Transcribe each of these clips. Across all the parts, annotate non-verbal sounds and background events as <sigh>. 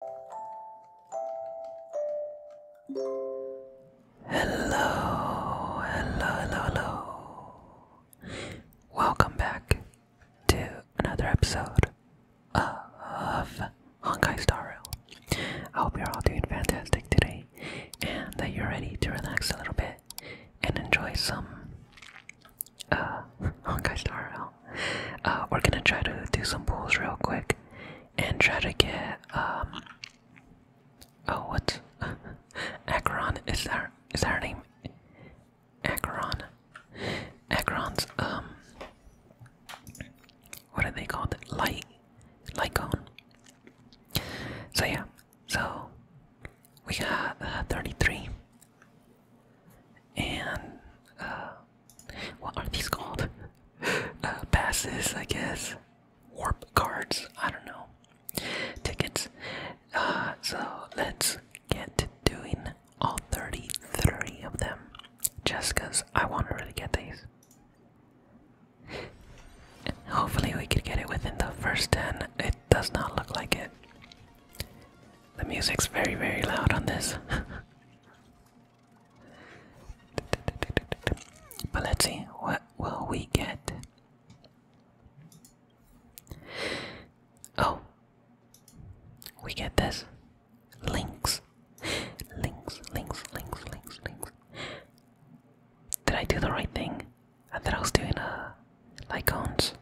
Hello, hello, hello, hello. Welcome back to another episode of Honkai Star Rail. I hope you're all doing fantastic today and that you're ready to relax a little bit and enjoy some uh, Honkai Star Rail. Uh, we're gonna try to do some pulls real quick and try to get um oh what Acheron <laughs> is that is that her name? Acheron. Acheron's um what are they called? Light light cone. So yeah, so we have uh, 33 and uh, what are these called? <laughs> Uh, passes, I guess. Warp cards. I don't know. Tickets. Uh, so let's get to doing all 33 of them, just because I want to really get these. Hopefully, we could get it within the first 10. It does not look like it. The music's very, very loud on this. <laughs> But let's see, what will we get? Oh, we get this links, links, links, links, links, links. Did I do the right thing? I thought I was doing like uh, lycons.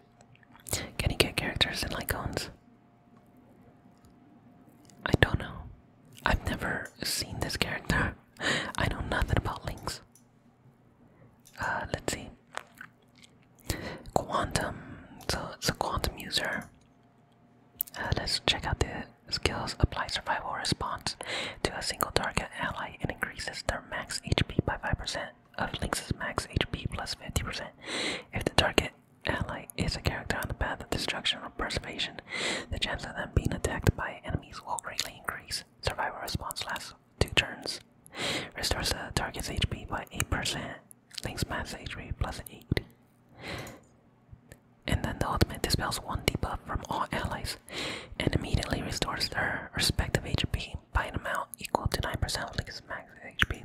Can you get characters in lycons? I don't know. I've never seen this character. <laughs> I know nothing about Links. Uh, let's see. Quantum. So it's a quantum user. Uh, let's check out the skills. Apply survival response to a single target ally and increases their max HP by 5% of Lynx's max HP plus 50%. If the target ally is a character on the path of destruction or preservation. The chance of them being attacked by enemies will greatly increase. Survivor response lasts two turns. Restores the target's HP by 8%. Links max HP plus 8. And then the ultimate dispels one debuff from all allies and immediately restores their respective HP by an amount equal to 9% of Link's max HP.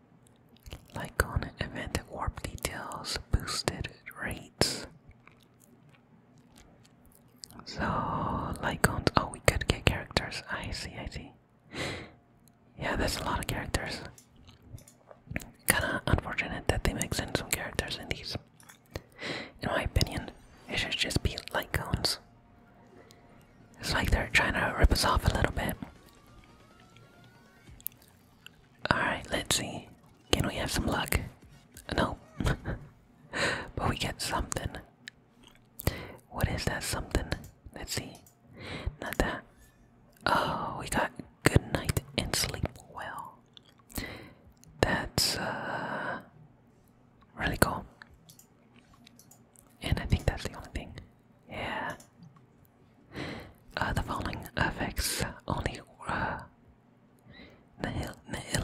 like on event warp details, boosted rates. So, like on, oh, we could get characters. I see, I see. Yeah, there's a lot of characters. Kinda unfortunate that they mix in some characters in these. In my opinion, it should just be light cones. It's like they're trying to rip us off a little bit. Alright, let's see. Can we have some luck? No. <laughs> but we get something. What is that something? Let's see. Not that. Oh, we got good night and sleep well. That's uh really cool. And I think that's the only thing. Yeah. Uh, the following effects only uh, nihil nihil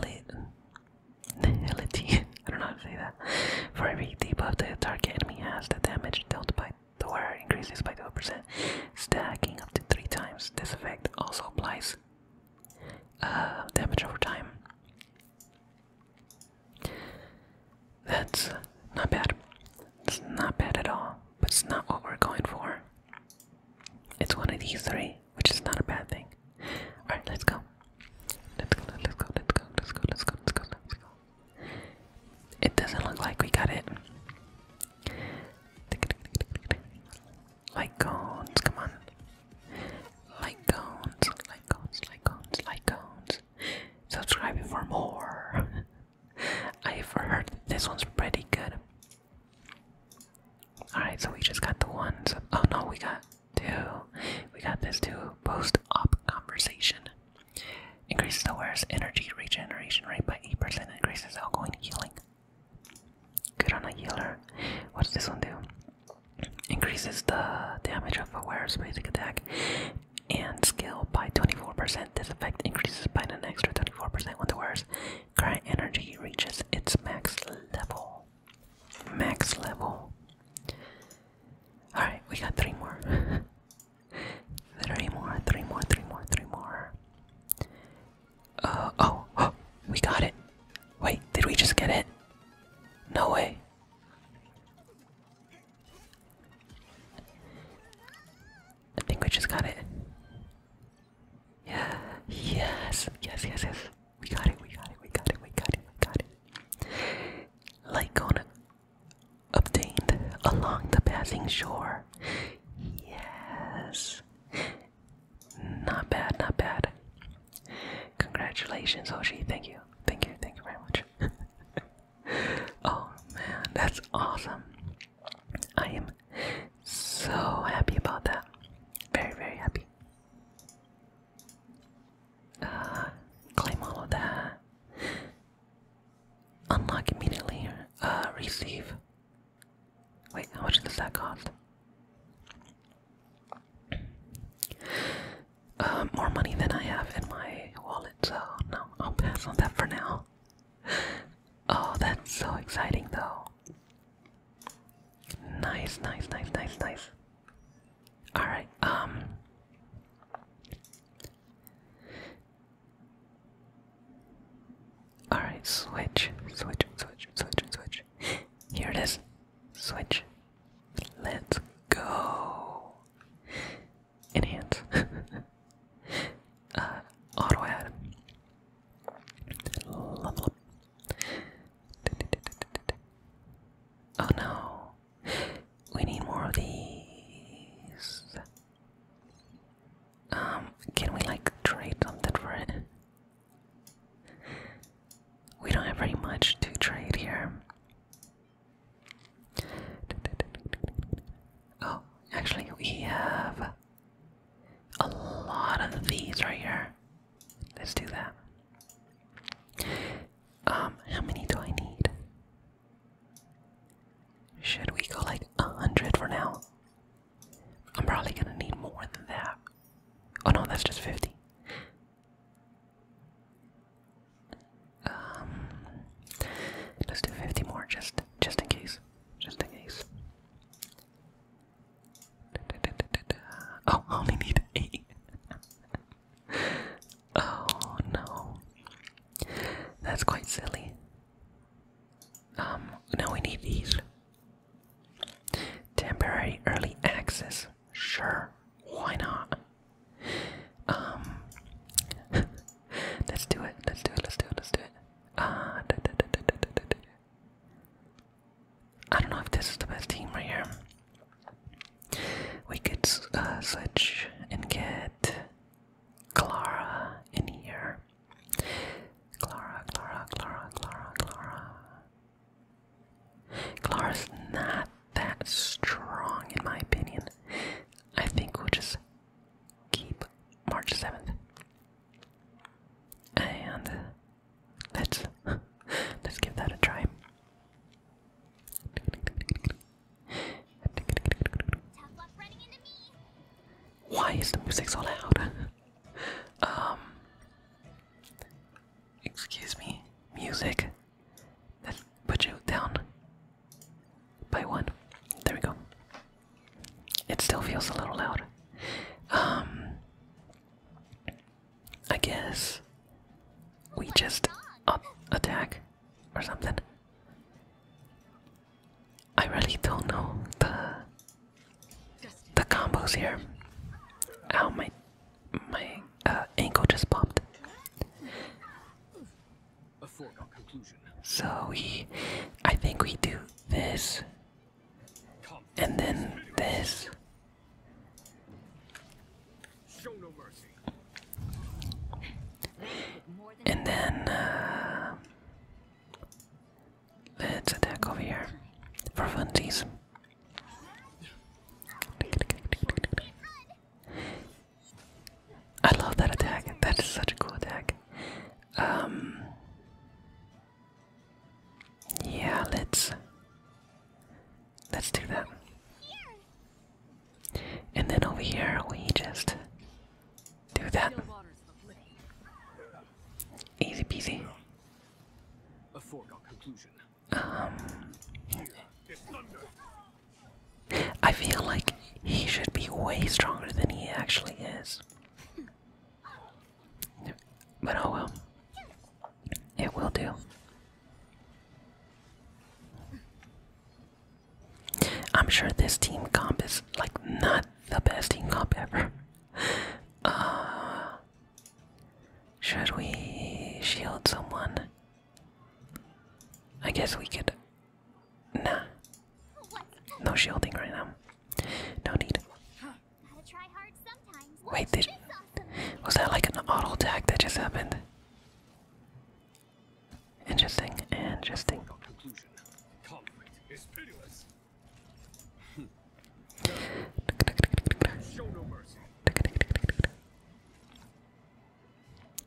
nihility. <laughs> I don't know how to say that. For every debuff the target enemy has, the damage dealt by the wearer increases by 2%, stacking up to 3 times. This effect also applies uh, damage over time. That's not bad. It's not bad at all, but it's not what we're going for. It's one of these three, which is not a bad thing. Alright, let's go. Let's go, let's go, let's go, let's go, let's go, let's go, let's go. It doesn't look like we got it. Light cones, come on. Light cones, light cones, light cones, light cones subscribing for more. <laughs> I've heard this one's pretty good. Alright, so we just got the ones. oh no, we got two. We got this two Post op conversation. Increases the wearer's energy regeneration rate by 8%, increases outgoing healing. Good on a healer. What does this one do? Increases the damage of a ware's basic attack and skill by 24%. This effect increases by an extra 24% when the ware's current energy reaches its max level. Max level. Alright, we got three more. <laughs> three more, three more, three more, three more. Uh, oh, oh, <gasps> we got it. Wait, did we just get it? No way. I think we just got it. Yeah, yes, yes, yes, yes. We got it, we got it, we got it, we got it, we got it. Like on a obtained along the passing shore. Yes. Not bad, not bad. Congratulations, Hoshi. Thank you. Thank you. Thank you very much. <laughs> oh man, that's awesome. I am so happy about that. Very, very happy. Uh, claim all of that. Unlock immediately. Uh, receive. Wait, how much does that cost? Uh, more money than I have in my wallet, so no, I'll pass on that for now. Oh, that's so exciting, though. Nice, nice, nice, nice, nice. Alright, um. Alright, switch, switch, switch, switch, switch. Here it is. Switch. Let's go. Enhance. <laughs> uh, auto Oh no. We need more of these. Um, can we like trade something for it? We don't have very much to trade here. Oh, actually, we have a lot of these right here. Let's do that. Um, how many do I need? Should we go like a hundred for now? I'm probably gonna need more than that. Oh no, that's just 50. Um, let's do 50 more, just just in case, just in case. Oh, only need eight. <laughs> oh no, that's quite silly. Um, now we need these temporary early access. Sure, why not? Um, <laughs> let's do it. Let's do it. Let's do it. Let's do it. Uh, da, da, da, da, da, da, da. I don't know if this is the best team right here. We could uh, switch and get Clara in here. Clara, Clara, Clara, Clara, Clara. Clara's not that strong, in my opinion. I think we'll just keep March 7th. And let's let's give that a try. Why is the music so loud? Um, excuse me, music that put you down by one. There we go. It still feels a little loud. Um, I guess we just attack or something. I really don't know the the combos here. Ow, my my uh, ankle just popped. So we, I think we do this, and then this. Show no mercy. And then uh, Let's attack over here for funsies. I love that attack. That is such a cool attack. Um, yeah, let's let's do that. And then over here we just do that. Easy peasy. A foregone conclusion. Um, I feel like he should be way stronger than he actually is. But oh well. It will do. I'm sure this team comp is like not the best team comp ever. Uh, should we shield someone? I guess we could. Nah. No shielding right now. No need. Wait, was that like an auto attack that just happened? Interesting, interesting.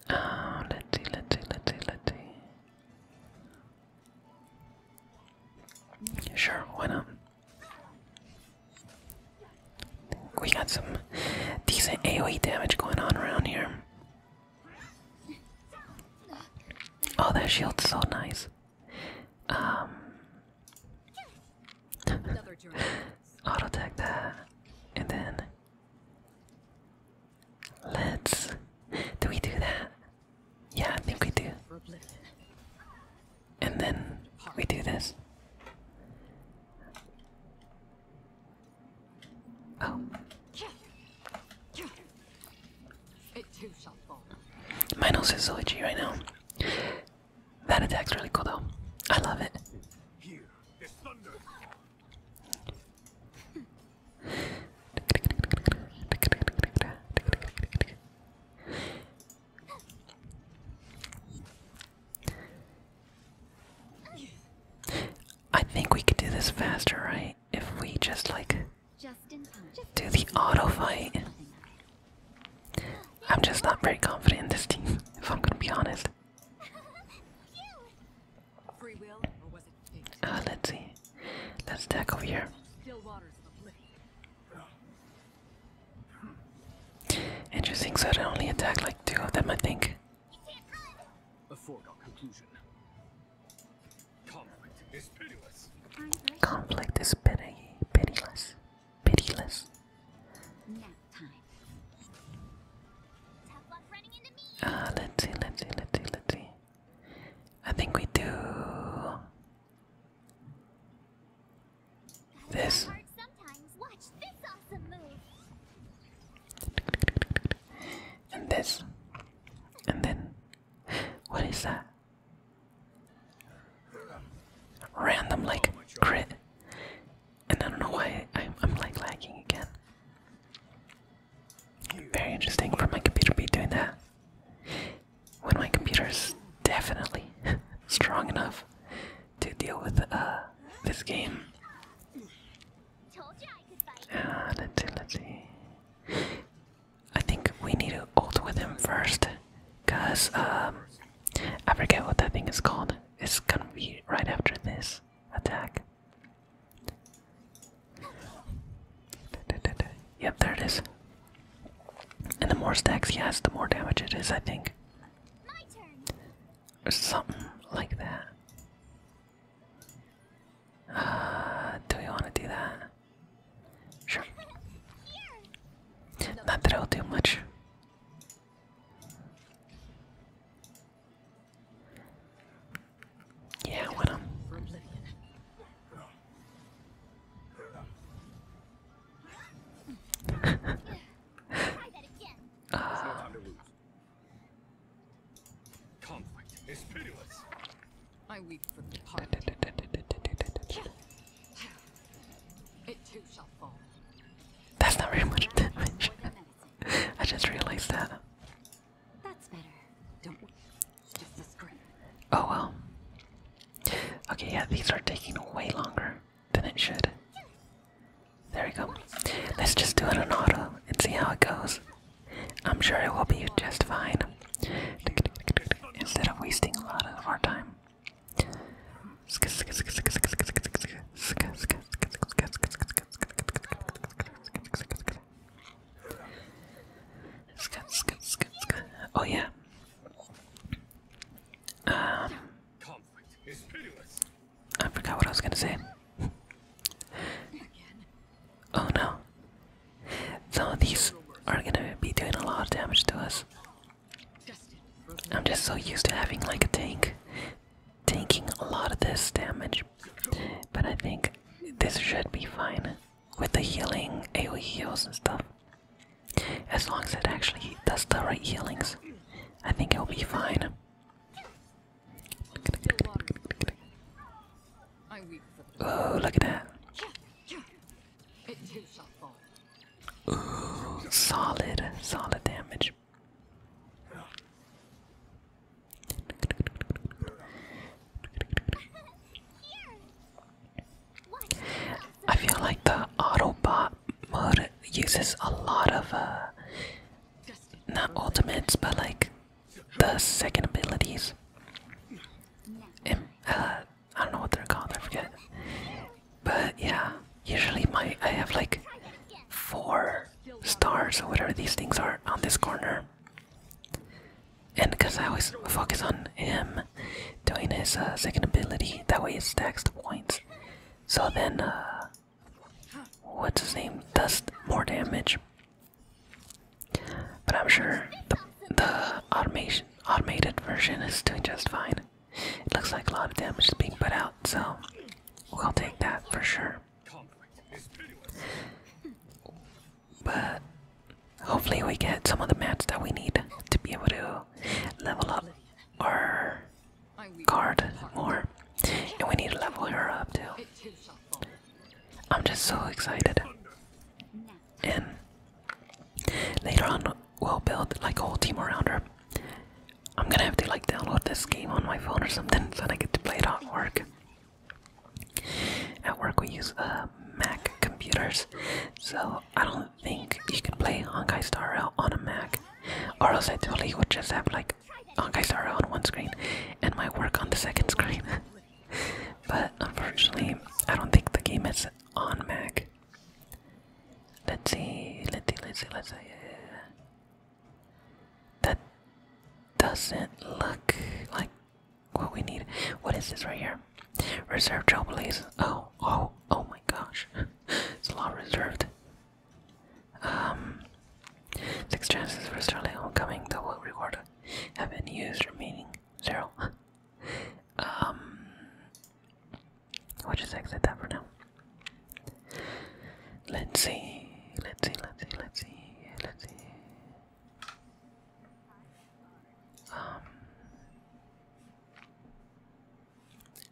Oh, let's see, let Sure, why not? We got some decent AoE damage going on around here. Oh, that shield's so nice. Um <laughs> auto attack that and then let's do we do that? Yeah, I think we do. And then we do this. Oh. It too shall fall. My nose is so itchy right now. That attack's really cool though. I love it. Here is thunder. I think we could do this faster, right? If we just like do the auto fight. I'm just not very confident in this team, <laughs> if I'm gonna be honest. Ah, let's see. Let's attack over here. Interesting, so they only attack like two of them, I think. Conflict is pitiless. Conflict is pity, pitiless. Pitiless. Uh, ah, let's see, let's see, let's see, let's see. I think we do this. Watch this awesome move. And this. And then, what is that? Random like crit, and I don't know why I'm, like lagging again. Very interesting for my computer to be doing that when my computer is definitely <laughs> strong enough to deal with uh, this game. Uh, ah, let I think we need to ult with him first. Cause um, I forget what that thing is called. It's gonna be right after this attack. Yep, there it is. And the more stacks he has, the more damage it is, I think. Or something like that. Uh, do we want to do that? Sure. Not that i will do much. Yeah, what him. I weep from the heart. It too shall fall. That's not very much damage. <laughs> I just realized that. That's better. Don't just the script. Oh well. Okay, yeah, these are taking way longer than it should. There we go. Let's just do it on auto and see how it goes. I'm sure it will be just fine instead of wasting a lot of our time. Oh yeah. Um, I forgot what I was gonna say. Oh no. Some of these are gonna be doing a lot of damage to us. I'm just so used to having like a tank taking a lot of this damage. But I think this should be fine with the healing AoE heals and stuff. As long as it actually does the right healings, I think it'll be fine. Oh, look at that. Ooh, solid, solid damage. I feel like the Autobot mode uses a lot of, uh, not ultimates, but like the second abilities. And, uh, don't know what they're called. I forget. But yeah, usually my I have like four stars or whatever these things are on this corner. And because I always focus on him doing his uh, second ability, that way it stacks the points. So then, uh, what's his name? Does more damage. But I'm sure the, automation automated version is doing just fine. It looks like a lot of damage is being put out, so we'll take that for sure. But hopefully we get some of the mats that we need to be able to level up our card more. And we need to level her up too. I'm just so excited. And later on, we'll build like a whole team around her. I'm gonna have to like download this game on my phone or something so that I get to play it at work. At work, we use uh, Mac computers, so I don't think you can play Honkai Star Rail on a Mac, or else I totally would just have like on Kaisara on one screen and my work on the second screen. <laughs> but unfortunately, I don't think the game is on Mac. Let's see, let's see, let's see, let's see. That doesn't look like what we need. What is this right here? Reserved trail blaze. Oh, oh, oh my gosh. <laughs> it's a lot reserved. Um, six chances for Sterling Homecoming double reward have been used, remaining zero. <laughs> Um, we'll just exit that for now. Let's see, let's see, let's see, let's see, let's see. Um,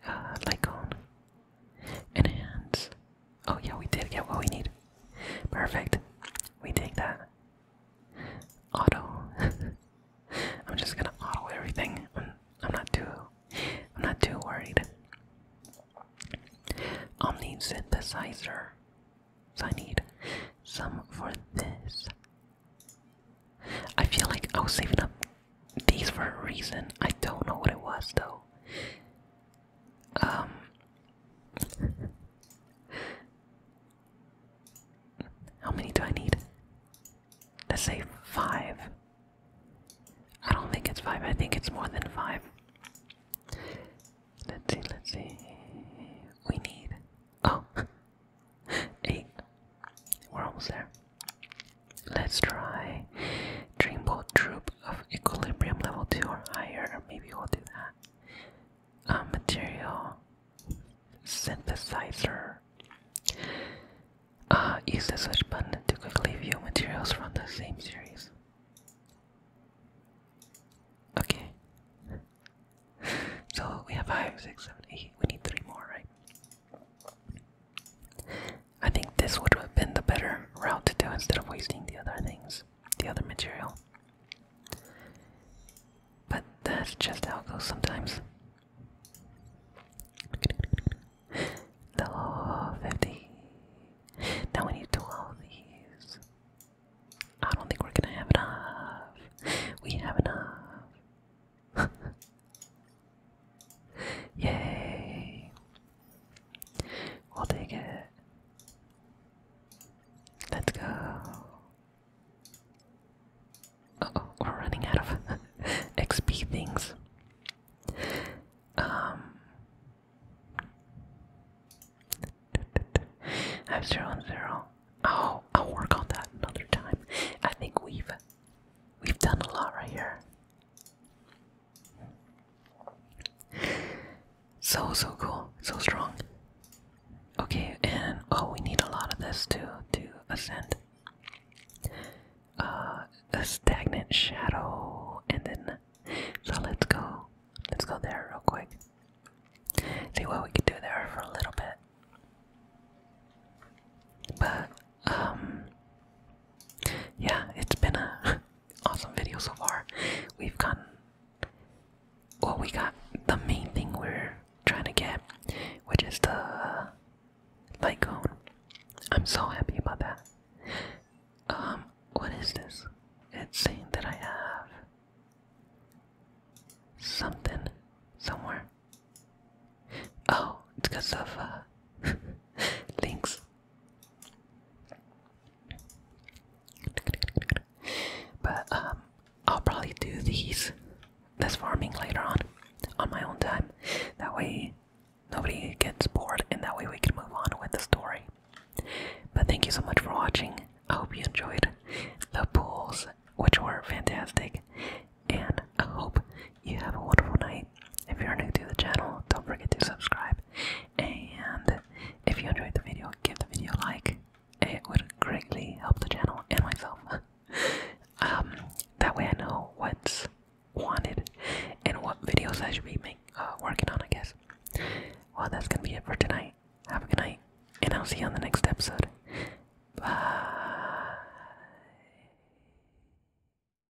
uh, and hands. Oh yeah, we did get what we need. Perfect. We take that. Auto. <laughs> I'm just gonna auto everything. I'm, I'm not too. I'm not too worried. Omni synthesizer. So I need some for this. I feel like I was saving up these for a reason. I don't know what it was though. Um. How many do I need? Let's say five. I don't think it's five, I think it's more than five. Let's see, let's see. We need. Oh! we <laughs> We're almost there. Let's try Dreamboat Troop of equilibrium level 2 or higher, or maybe we'll do that. Uh, material synthesizer. Uh, use the switch button to quickly view materials from the same series. Okay. <laughs> So we have five, six, seven, eight. We need 3 more, right? I think this would have been the better route to do instead of wasting the other things, the other material. But that's just how it goes sometimes. No, 50. Now we need 12 of these. I don't think we're gonna have enough. We have enough. <laughs> Yay. We'll take it. Let's go. oh, we're running out of <laughs> XP things. Um, I Oh, I'll work on that another time. I think we've we've done a lot right here. So, so cool. So strong. Okay, and oh, we need a lot of this to, to ascend. Uh, a stagnant shadow, and then. So let's go. Let's go there real quick. See what we can do there for a little bit. But, um. Yeah, it's been a awesome video so far. We've gotten well, we got the main thing we're trying to get, which is the light cone. I'm so happy about that. Um, what is this? It's saying that I have something somewhere. Oh, it's because of uh, <laughs> links. But um, I'll probably do these, this farming later on, on my own time. That way nobody gets bored, and that way we can move on with the story. But thank you so much for watching. I hope you enjoyed the pools, which were fantastic, and I hope you have a wonderful night. If you're new to the channel, don't forget to subscribe. And if you enjoyed the video, give the video a like. It would greatly help the channel and myself. <laughs> Um, that way I know what's wanted and what videos I should be making, uh, working on, I guess. Well, that's gonna be it for tonight. Have a good night, and I'll see you on the next episode. Bye.